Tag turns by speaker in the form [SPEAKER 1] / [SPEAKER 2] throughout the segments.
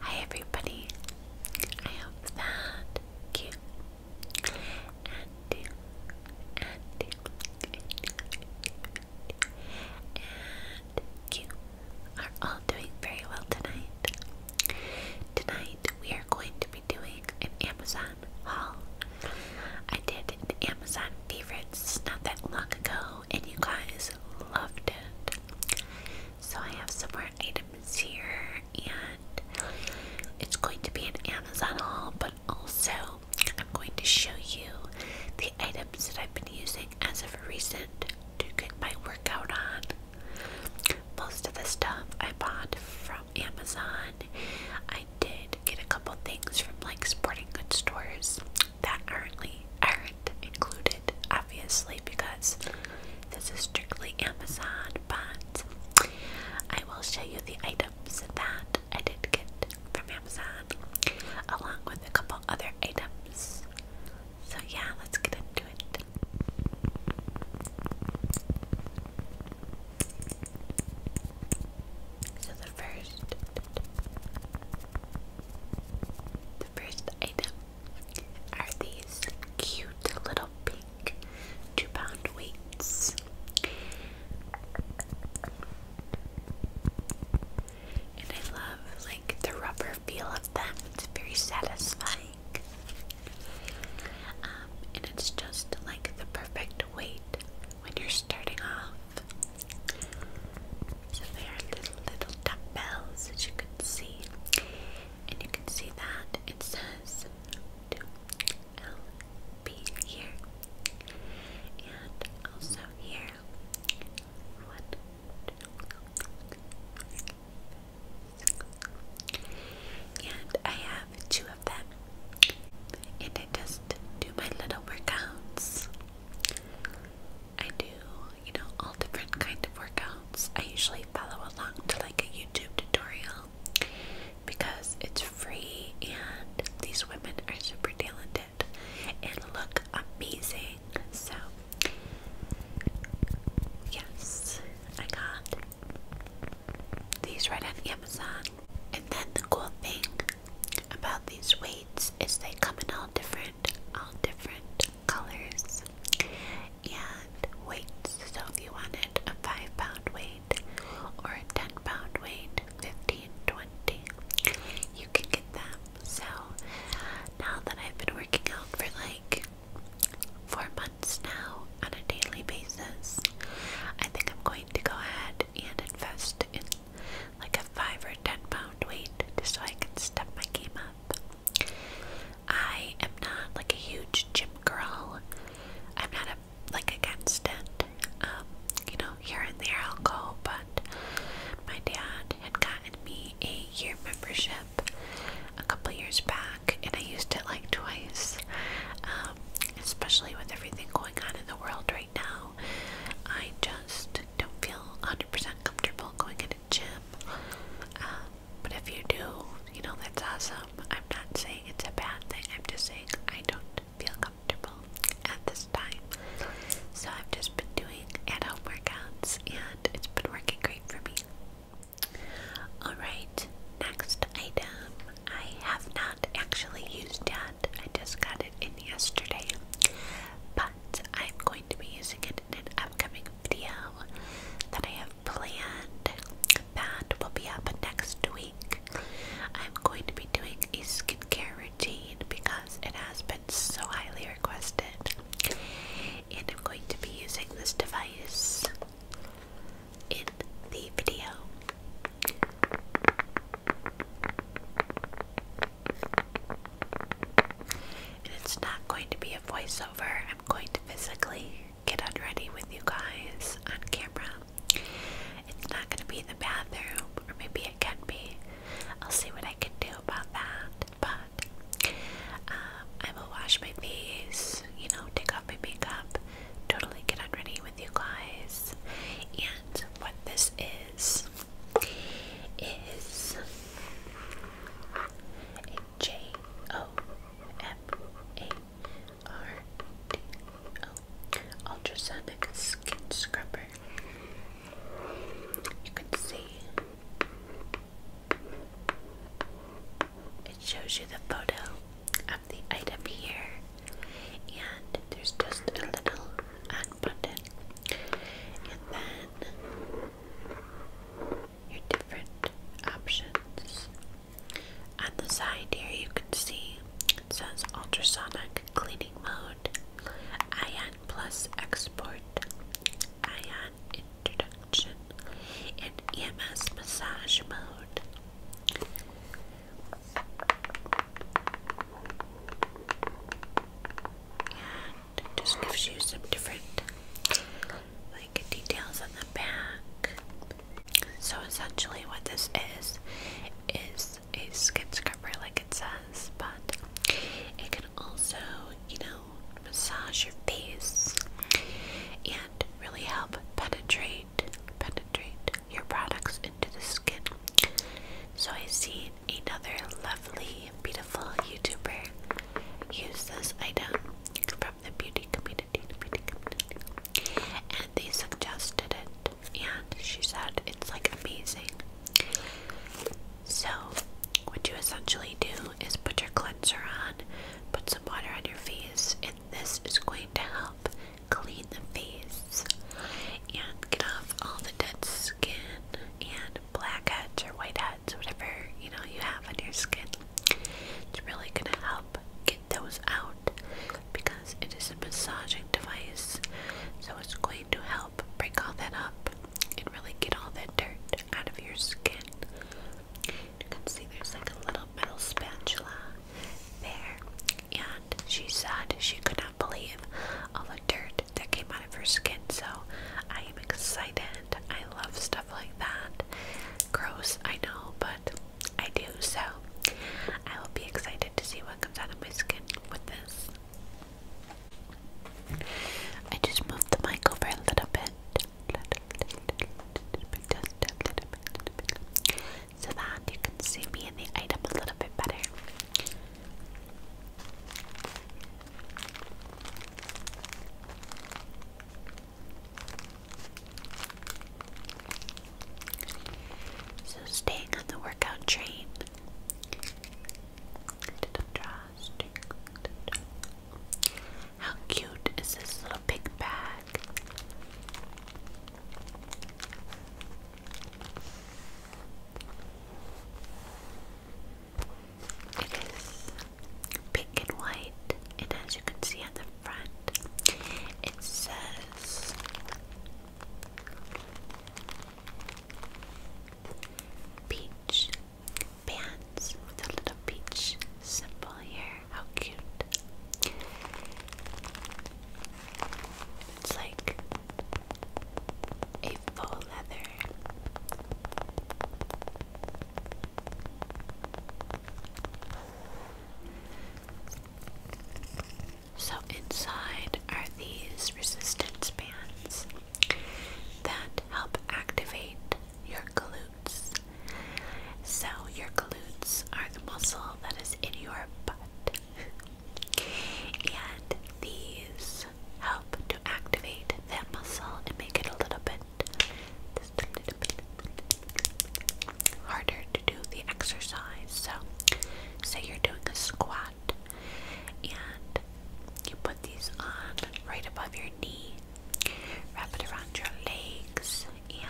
[SPEAKER 1] Hi everybody. I hope that you and you and you are all doing very well tonight. Tonight we are going to be doing an Amazon haul. I did an Amazon favorites not that long ago and you guys loved it. So I have some more items here, and it's going to be an Amazon haul, but also I'm going to show you the items that I've been using as of recent to get my workout on. Most of the stuff I bought from Amazon. I did get a couple things from like sporting goods stores, that aren't, aren't included, obviously, because this is strictly Amazon, but I will show you the items that I did get from Amazon, along with a couple other items. So, yeah, let's get into it. So, the first the first item are these cute little pink two pound weights. And I love like the rubber feel of them. It's very satisfying. Um, and it's just like the perfect weight when you're starting off so there are little little tap bells as you can see. And you can see that it says LP here. And also here. and I have two of them. And I just do my little workouts I do, you know, all different kind of workouts. I usually follow along to like a YouTube tutorial because it's free and these women are super talented and look amazing. So, yes, I got these right on Amazon. And then the cool thing about these weights is they come in all different, all different colors and weights. So if you wanted a five pound weight or a ten pound weight, fifteen, twenty, you can get them. So now that I've been working out for like four months now on a daily basis, I think I'm going to go ahead and invest in like a five or ten pound weight just so I can step my game up. I am not like a huge gym girl. I'm not a, like against it. Um, you know, here and there I'll go, but my dad had gotten me a year membership a couple years back, and I used it like twice. Um, especially with everything going on in the world right now, I just don't feel 100% comfortable going to a gym. Um, but if you do, you know, that's awesome. I'm not saying it's a bad thing, I'm just saying I don't feel comfortable at this time. So I've just been doing at home workouts and it's been working great for me. Alright, next item. I have not actually used yet, I just got it in yesterday, but I'm going to be using it in an upcoming video that I have planned. That will be up next week. I'm going to be doing a skincare routine because it has been so highly requested, and I'm going to be using this device in the video it's not going to be a voiceover. I'm going to physically get on ready with you guys on camera. It's not going to be in the bathroom, or maybe it can be. I'll see what I can do about that. But um, I will wash my face, you know, take off my makeup, totally get on ready with you guys, and what this is is a J O M A R D O ultrasonic skin scrubber. You can see it shows you the photo of the item here and there's just a little button, and then your different options. On the side here, you can see it says ultrasonic cleaning mode, ion plus export, ion introduction, and EMS massage mode. And just gives you some different like details on the back. So essentially what this is is a skin scrubber like it says, but it can also, you know, massage your face and really help penetrate penetrate your products into the skin. So I see another lovely, beautiful YouTuber use this item from the beauty community, the beauty community, and they suggested it, and she said it's like amazing. So, what you essentially do is put your cleanser on, put some water on your face, and this is going to help clean the face and get off all the dead skin and blackheads or whiteheads, whatever you know you have on your skin. It's really gonna help get those out because it is a massaging device, so it's going to help break all that up and really get all that dirt out of your skin. You can see there's like a little metal spatula there, and she said she could not believe all the dirt that came out of her skin. So I am excited. I love stuff like that. Gross, I know, but I do. So I will be excited to see what comes out of my skin with this. I just moved the mic over a little bit. a little bit so that you can see me and the item a little bit better. So staying on the workout train. How cute is this little pink bag? pink and white, and as you can see at the front, it says peach bands with a little peach symbol here. How cute. It's like a full leather. So inside are these resistance bands that help activate your glutes so, your glutes are the muscle that is in your butt. and these help to activate that muscle and make it a little bit, harder to do the exercise. So, say you're doing a squat and you put these on right above your knee, wrap it around your legs, and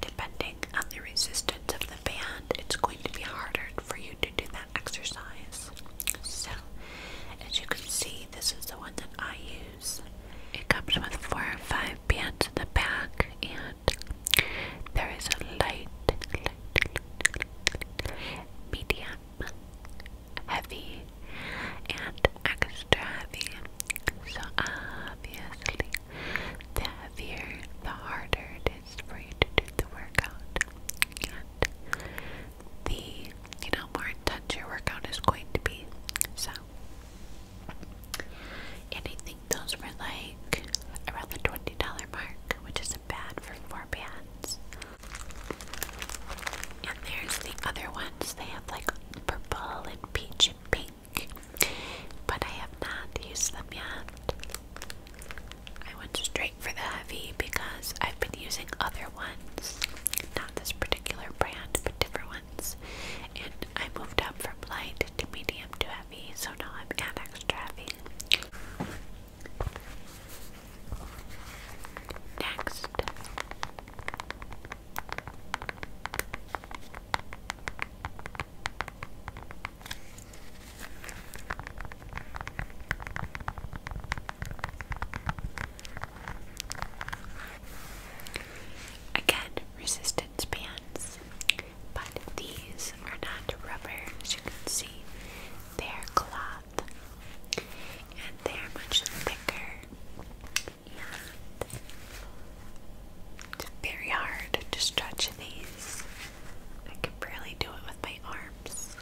[SPEAKER 1] Depending on the resistance of the band, it's going to be harder for you to do that exercise. So, as you can see, this is the one that I use. It comes with four or five bands in the back, and there is a light, light medium, heavy, and extra heavy. So obviously, the heavier, the harder it is for you to do the workout. And the, you know, more intense your workout is going to be. So, and I think those were like around the $20 mark, which isn't bad for four bands. And there's the other ones. They have like purple and peach and pink but I have not used them yet. I went straight for the heavy because I've been using other ones, not this particular brand, but different ones. And I moved up from light to medium to heavy, so now I'm at extra heavy. Next, Again, resistance bands, but these are not rubber, as you can see. They're cloth, and they're much thicker and very hard to stretch these. I can barely do it with my arms.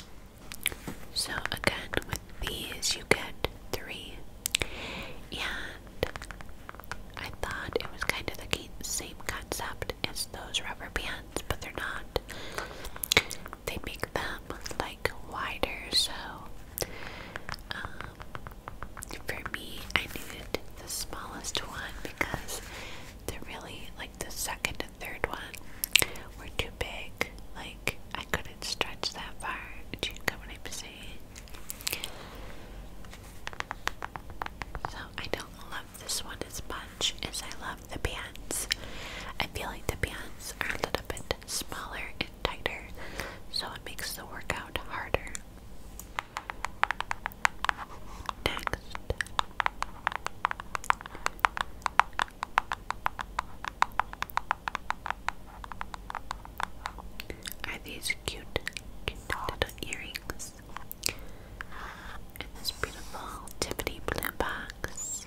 [SPEAKER 1] So again, with these you get three, and I thought it was kind of the same concept as those rubber bands, but they're not. They make them like wider, so um, for me, I needed the smallest one because they're really like the second and third one were too big. Like I couldn't stretch that far. Do you get what I'm saying? So I don't love this one as much as I love the pants. I feel like the pants are a little bit smaller tighter, so it makes the workout harder. Next. Are these cute little earrings in this beautiful Tiffany blue box?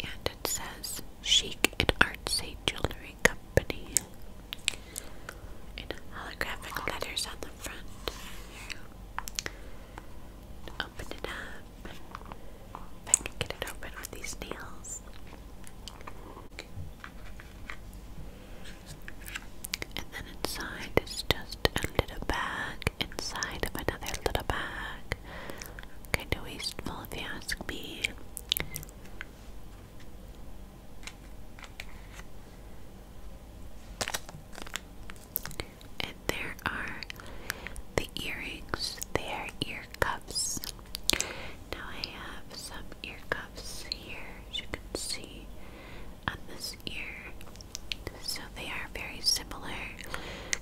[SPEAKER 1] And it says chic and artsy jewelry company. In holographic letters on the front. Open it up. If I can get it open with these nails. And then inside is just a bag inside of another little bag. Kinda wasteful if you ask me. And there are the earrings. They are ear cuffs. Now I have some ear cuffs here, as you can see on this ear. So they are very similar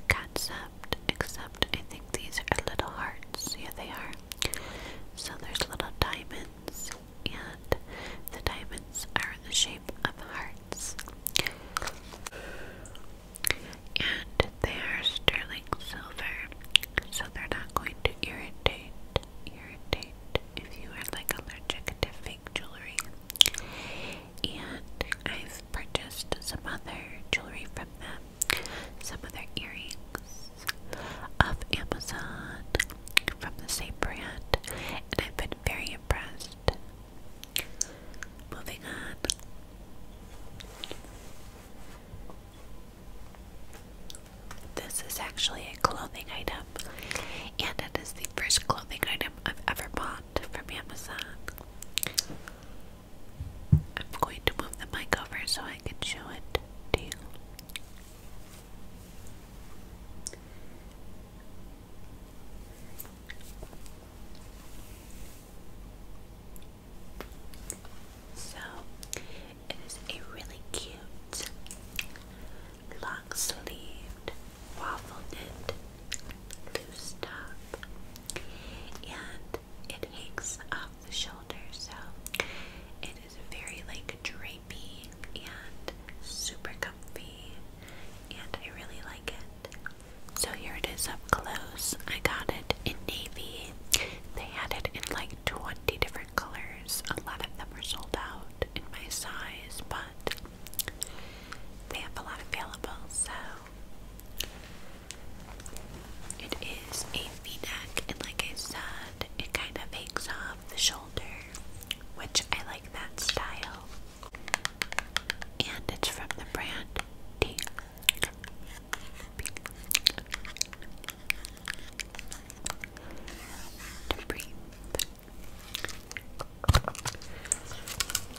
[SPEAKER 1] concept except, except I think these are little hearts. Yeah, they are. So there's little diamonds, and the diamonds are in the shape of hearts. And they are sterling silver, so they're not going to irritate, irritate if you are like allergic to fake jewelry. And I've purchased some other jewelry from them some other earrings of Amazon from the same brand, and I've been very impressed. Moving on. This is actually a clothing item, and it is the first clothing item I've ever bought from Amazon. I'm going to move the mic over so I can show it to you. So, it is a really cute long sleeved waffle knit loose top, and it hangs off the shoulder, so it is very like drapey and super comfy, and I really like it. So here it is up close. I got it in navy. They had it in like 20 different colors. A lot of them were sold out in my size, but they have a lot available, so it is a v-neck and like I said, it kind of makes off the shoulder, which I like that style. And it's from the brand T.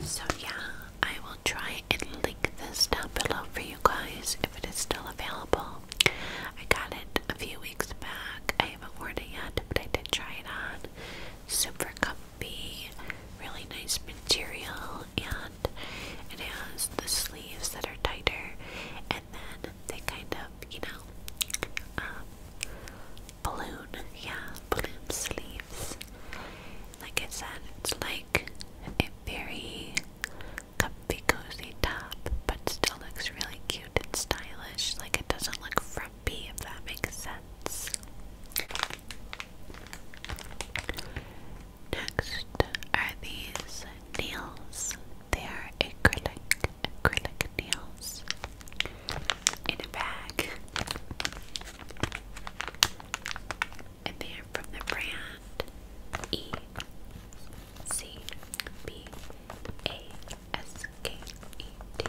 [SPEAKER 1] So yeah, I i will try and link this down below for you guys if it is still available. I got it a few weeks back. I haven't worn it yet, but I did try it on. Super comfy, really nice material, and it has the sleeves that are tighter, and then they kind of, you know, um, balloon, yeah, balloon sleeves. Like I said, it's like a very comfy, cozy top, but still looks really cute and stylish. Like it doesn't look frumpy, if that makes sense. Next are these nails. They are acrylic, acrylic nails in a bag and they're from the brand E C B A S K E T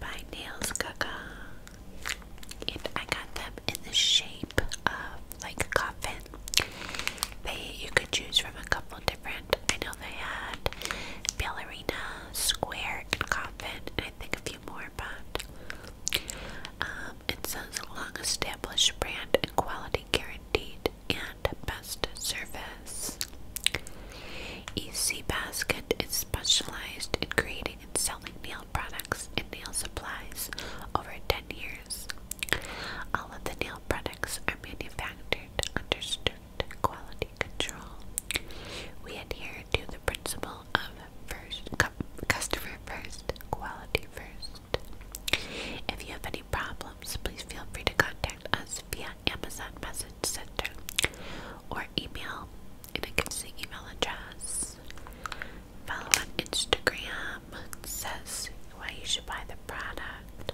[SPEAKER 1] by Nails Gaga. And I got them in the shape of like a coffin. They you could choose from a couple different. I know they had ballerina, square, and coffin, and I think a few more. Um, it's a long established brand and quality guaranteed and best service. EC Basket is specialized in creating and selling nail products and nail supplies over 10 years. All of the nail products are manufactured under strict quality control. We adhere to the principle of first customer first, quality first. If you have any problems, please feel free to contact us via Amazon Message Center or email, and it gives the email address. Follow on Instagram, says why you should buy the product.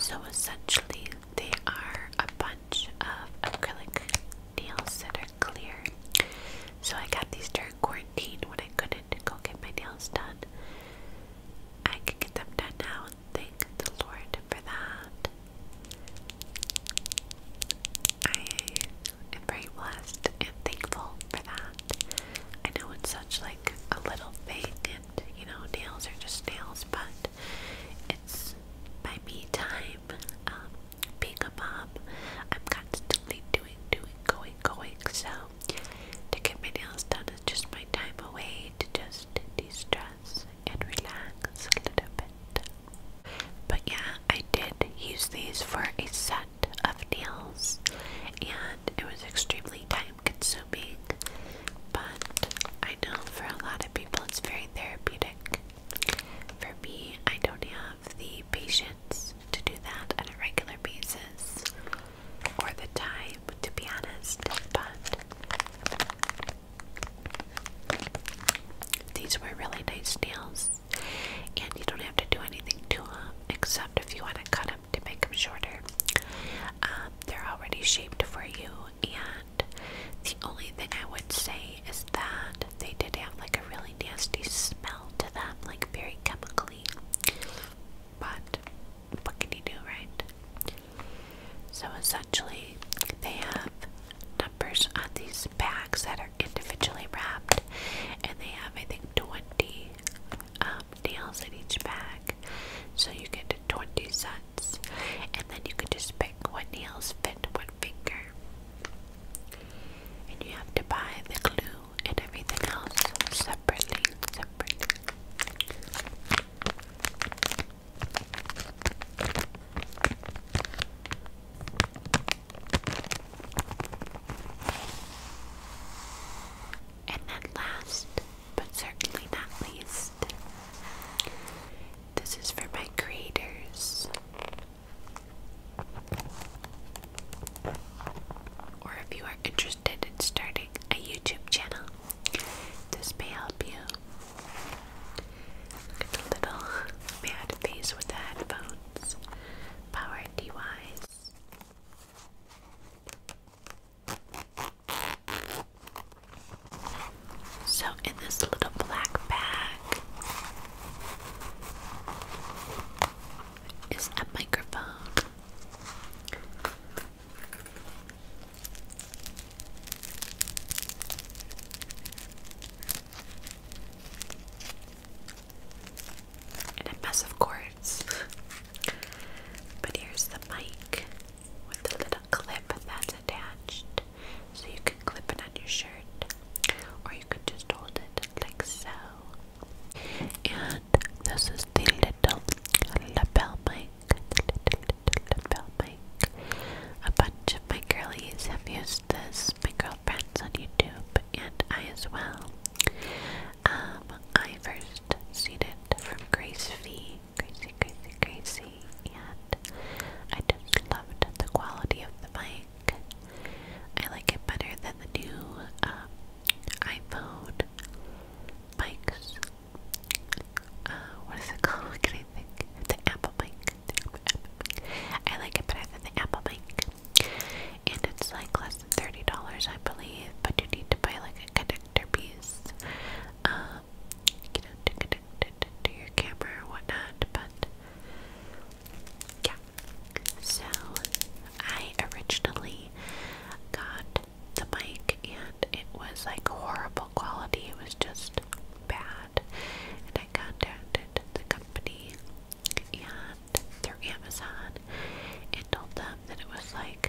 [SPEAKER 1] So essentially, they are a bunch of acrylic nails that are clear. So I got these during quarantine when I couldn't go get my nails done. I can get them done now thank the Lord for that. I am very blessed and thankful for that. I know it's such like a little thing it. You know, nails are just nails, but it's my me time. Um, being a mom, I'm constantly doing, doing, going, going. So to get my nails done is just my time away to just de-stress and relax a little bit. But yeah, I did use these for a set of nails, and it was extremely time consuming, but I know for a lot of people it's very therapeutic. For me, I don't have the patience to do that on a regular basis or the time, to be honest, but. These were really nice nails, and you don't have to do anything to them except if you want to cut them to make them shorter. Um, they're already shaped for you, and the only thing I would say is that they did have like a really nasty smell to them, like very chemically. But what can you do, right? So essentially, they have numbers on these bags that are individually wrapped, and they have, I think, 20 um, nails in each bag, so you get 20 sets, and then you can just pick what nails fit what finger. And you have to buy the glue and everything else separately, separately. And then, last but certainly not least, this is for my creators. Or if you are interested in starting a YouTube channel, this may help you. little mad face with headphones. Power DYs. So, in this little black bag is a microphone. And it must, of course, but here's the mic with the little clip that's attached. So you can clip it on your shirt, or you could just hold it like so. And this is the little lapel mic. little, little lapel mic. A bunch of my girlies have used this, my girlfriends on YouTube, and I as well. Um, I first seen it from Grace V. Gracie, Gracie, Gracie, and I just loved the quality of the mic. I like it better than the new um, iPhone mics. Uh, what is it called? What can I think? The Apple mic. I like it better than the Apple mic. And it's like less than $30, I believe, but you need to buy like connector piece um, to it your camera whatnot, but yeah. So, I originally got the mic and it was like horrible quality, it was just bad. And I contacted the company and through Amazon and told them that it was like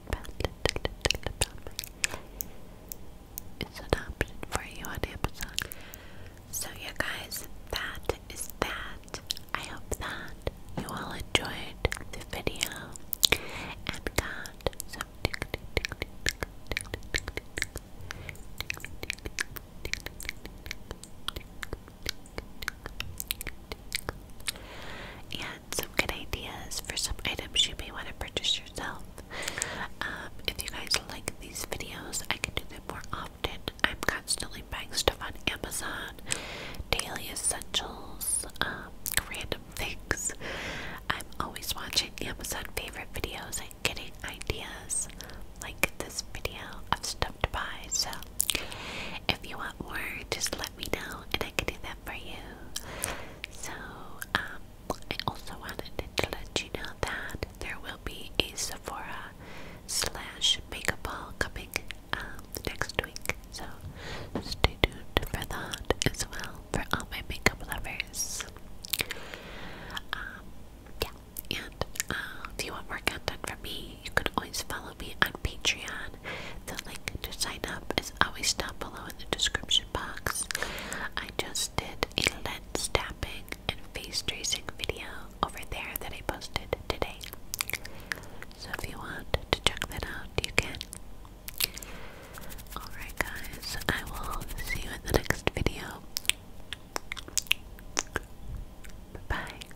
[SPEAKER 1] It's an option for you on the episode. So, you guys, that is that. I hope that you all enjoyed the video and got and some good ideas for some items you may want to purchase yourself. Um, if you guys like these videos, I can do them more often. I'm constantly buying stuff on Amazon, daily essentials, um, random things. I'm always watching Amazon favorite videos and getting ideas like this video of stuff to buy. So if you want more, just let me know and I can do that for you. So, um, I also wanted to let you know that there will be a Sephora slash makeup haul coming um, next week. So, stay tuned for that as well for all my makeup lovers. Um, yeah, and uh, if you want more content from me, you can always follow me on Patreon. The link to sign up is always down below in the description box. I just did a lens tapping and face tracing video over there that I posted today. So if you want to check that out, you can. Alright guys, I will see you in the next video. Bye